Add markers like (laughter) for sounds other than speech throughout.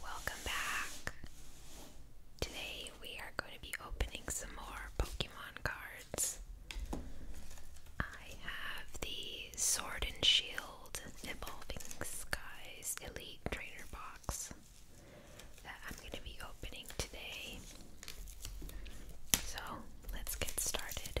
Welcome back. Today we are going to be opening some more Pokemon cards. I have the Sword and Shield Evolving Skies Elite Trainer Box that I'm going to be opening today. So let's get started.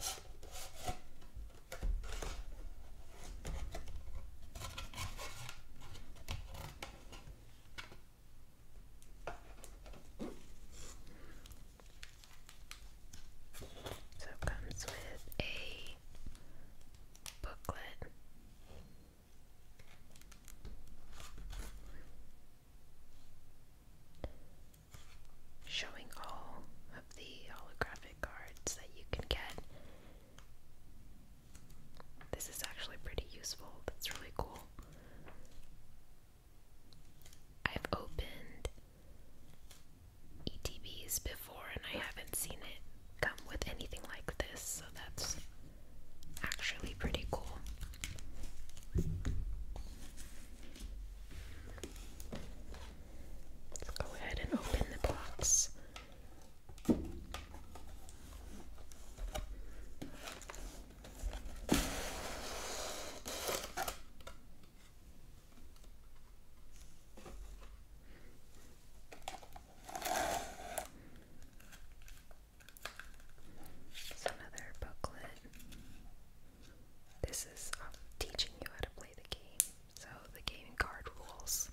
So it comes with a booklet showing all of the holographic cards that you can get. This is actually pretty useful. That's really cool. I've opened ETBs before and I haven't seen it come with anything like this, so that's actually pretty cool. Let's go ahead and open the box. another booklet. This is um, teaching you how to play the game, so the gaming card rules.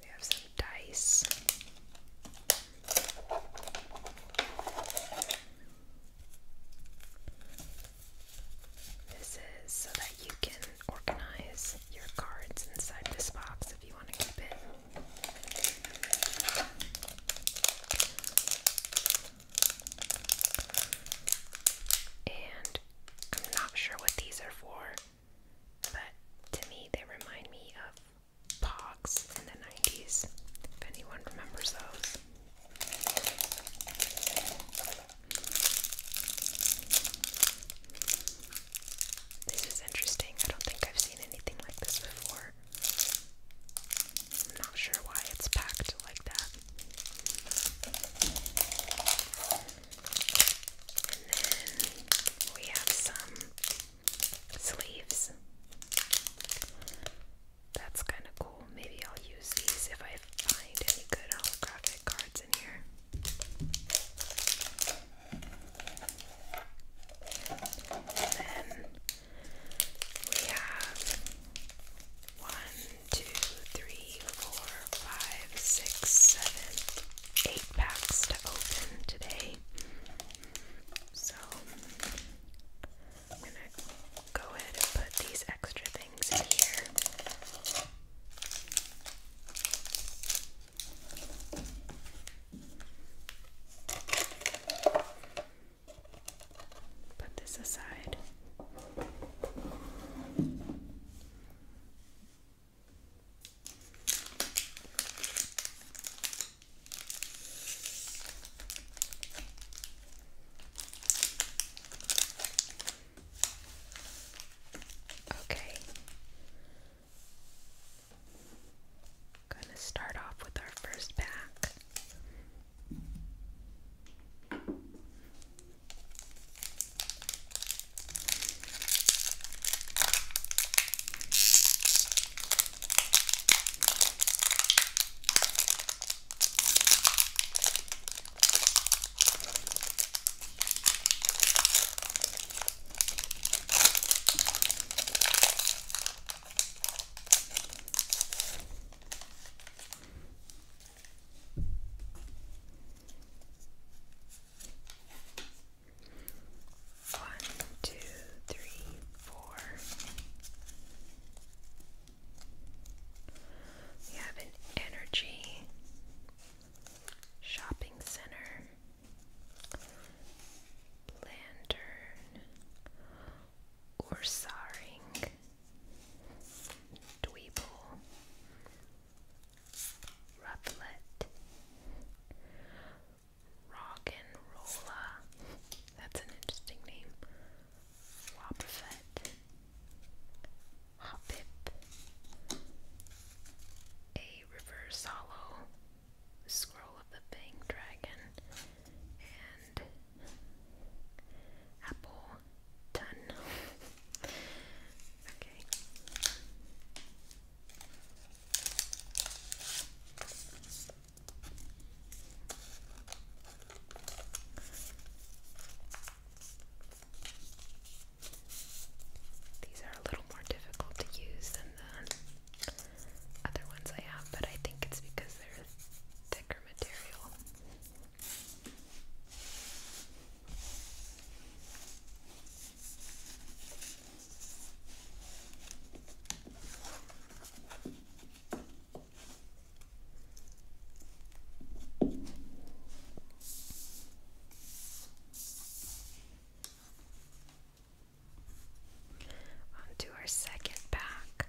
We have some dice. This is so that you can organize your cards inside this box if you want to keep it. And I'm not sure what these are for, but to me they remind me of Pogs in the 90s, if anyone remembers those. This is interesting. I don't think I've seen anything like this before. I'm not sure why it's packed like that. And then we have some sleeves. That's kind of cool. Maybe I'll use these if I find any good holographic cards in here. And then we have one, two, three, four, five, six, seven, eight packs to open today. So I'm gonna go ahead and put these extra things in here. Put this aside. Okay, Gonna start off with our first pack. One, two, three, four. We have energy Shopping Center, Lantern, Orsaring, Dweeble, Rufflet, Rock'n'Rolla, that's an interesting name, Wobbuffet, Hoppip, a reverse hollow, Scroll of the Bang Dragon, and Apple Ton. (laughs) okay. These are a little more difficult to use than the other ones I have, but I think it's because they're thicker material. On to our second pack.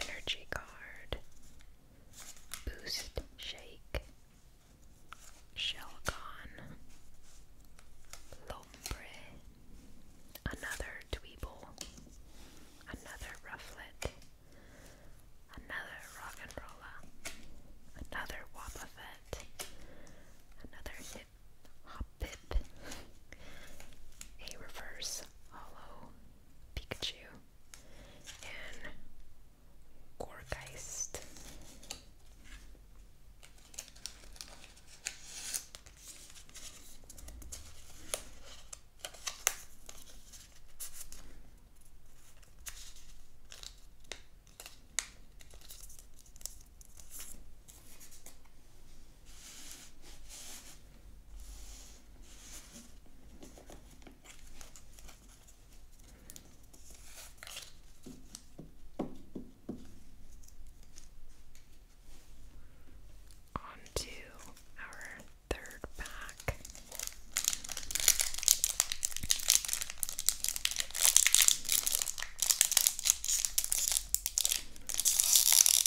Energy card, Boost Shake, Shelgon, Lombre, another Dweeble, another Rufflet, another Rock'n'Rolla, another Wobbuffet, another Hip Hop Pip, a reverse is Pikachu and Gorgeist. On to our third pack.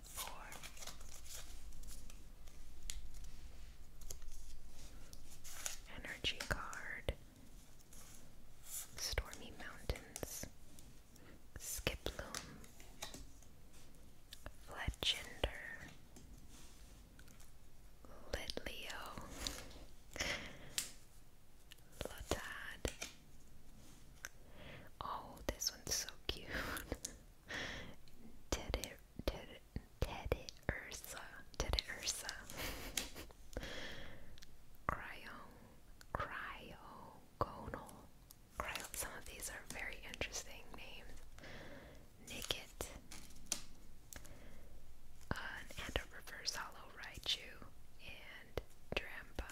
three, four. Energy card. Stormy Mountains. Skiploom. Fletchender. Litleo. Lotad. Oh, this one's so cute. Teddy, Teddy, Teddy Ursa, Teddy Ursa. cryo, cryogonal. Cryo. Some of these are very interesting names. Nicket, and a reverse hollow Raichu, and Drampa.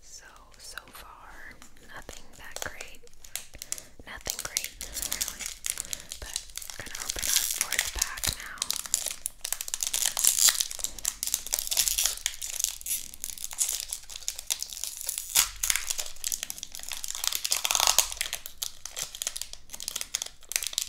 So, so far, nothing that great. Nothing great, really. But gonna open up for pack now.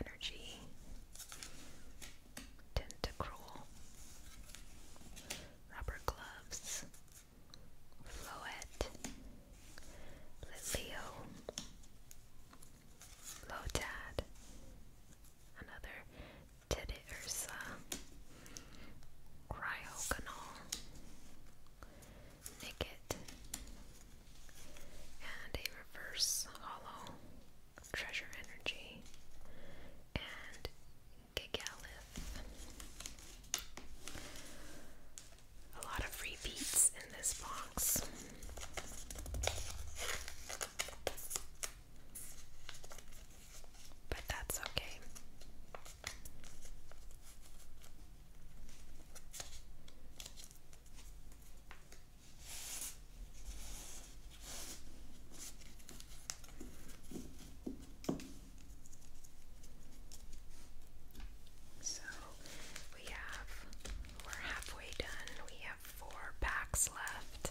energy, tentacruel, rubber gloves, floette, Lilio, Lotad, another Teddy Ursa, Nicket, and a reverse hollow treasure energy, and Gigalith. A lot of repeats in this box. But that's okay. So we have, we're halfway done. We have four packs left.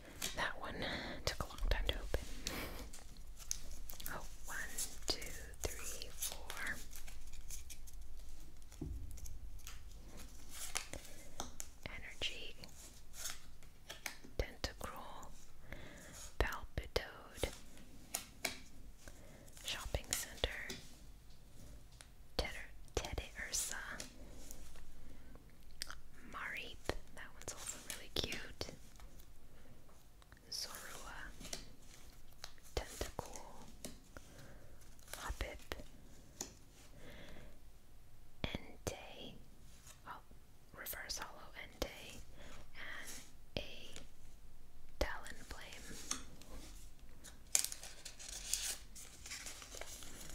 That one took a long time to open. Oh, one, two, three, four. Energy. Tentacruel. Palpitoad. Shopping Center. Teddy Ursa. Marip, that one's also really cute. Zorua, Tentacool, Hoppip, Entei, oh, Reverse Hollow Entei, and a Talonflame.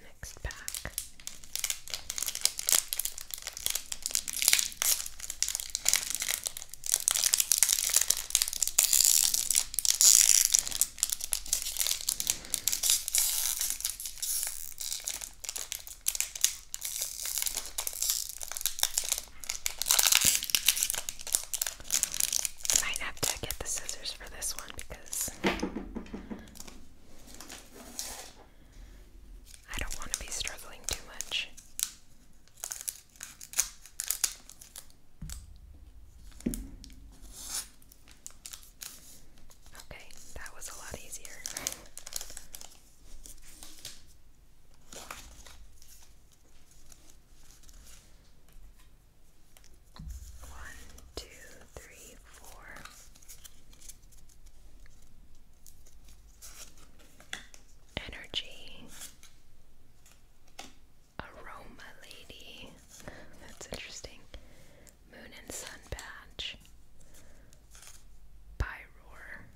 Next pack. I Might have to get the scissors for this one because I don't want to be struggling too much. Okay, that was a lot easier. One, two, three, four. Energy. Aroma Lady. That's interesting. Moon and Sun Patch. Pyroar.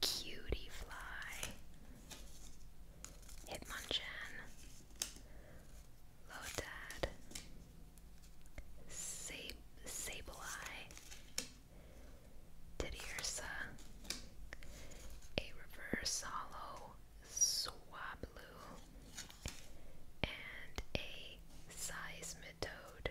Cutie Fly. Hitmonchan, Lotad, Sab Sableye, Didiersa, a reverse hollow Swablu, and a Seismitoad.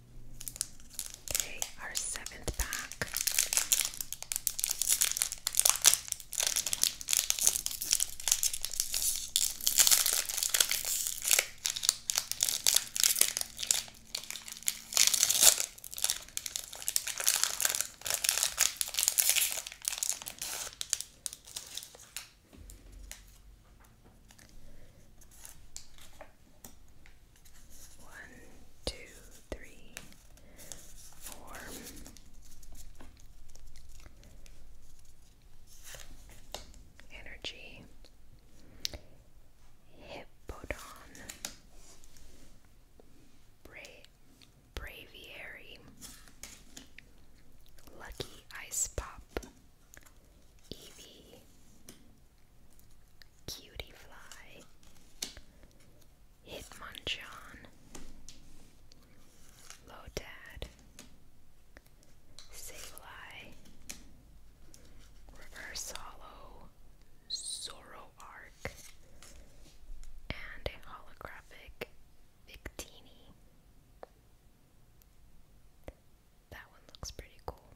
Okay, our seventh pack. One, two, three, four. Energy. Hippodon. Bra Braviary. Lucky Ice Pop. Eevee. Cutie Fly, Hitmonchan, Lotad, Sableye, Reverse Hollow, Zoroark, and a holographic Victini. That one looks pretty cool.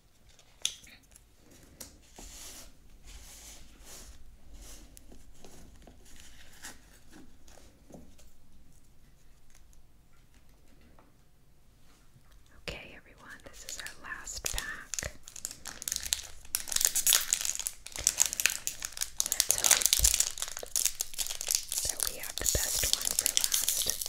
Okay, everyone, this is our last pack. Let's hope that we have the best one for last.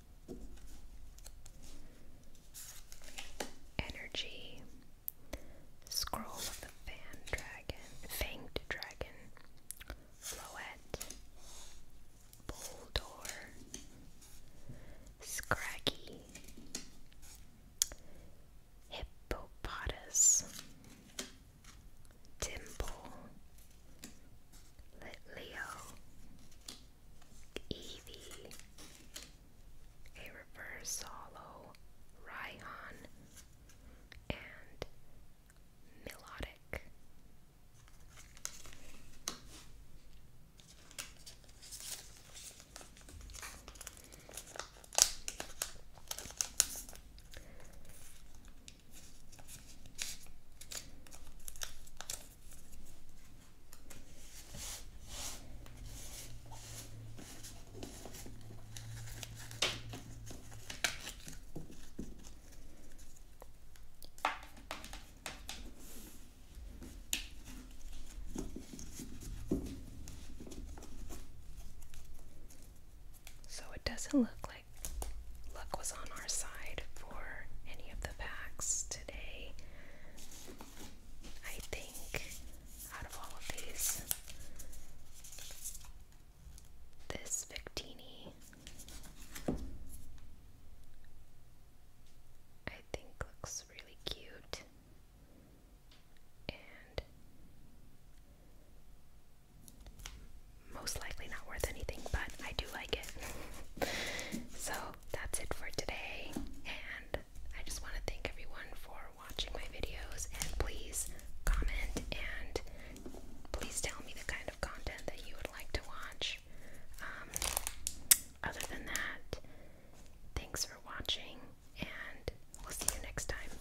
Energy. Scroll of the Fan Dragon, Fanged Dragon, Floette, Boldor, Scraggy, Hippopotas, Dimple, let Leo, Eevee, a reverse hollow, Raihan, and Melodic. So it doesn't look like luck was on our side for any of the packs today. I think out of all of these, this Victini I think looks really cute. And most likely not worth anything, but I do like it. (laughs) so that's it for today, and I just want to thank everyone for watching my videos. And please comment and please tell me the kind of content that you would like to watch. Um, other than that, thanks for watching, and we'll see you next time.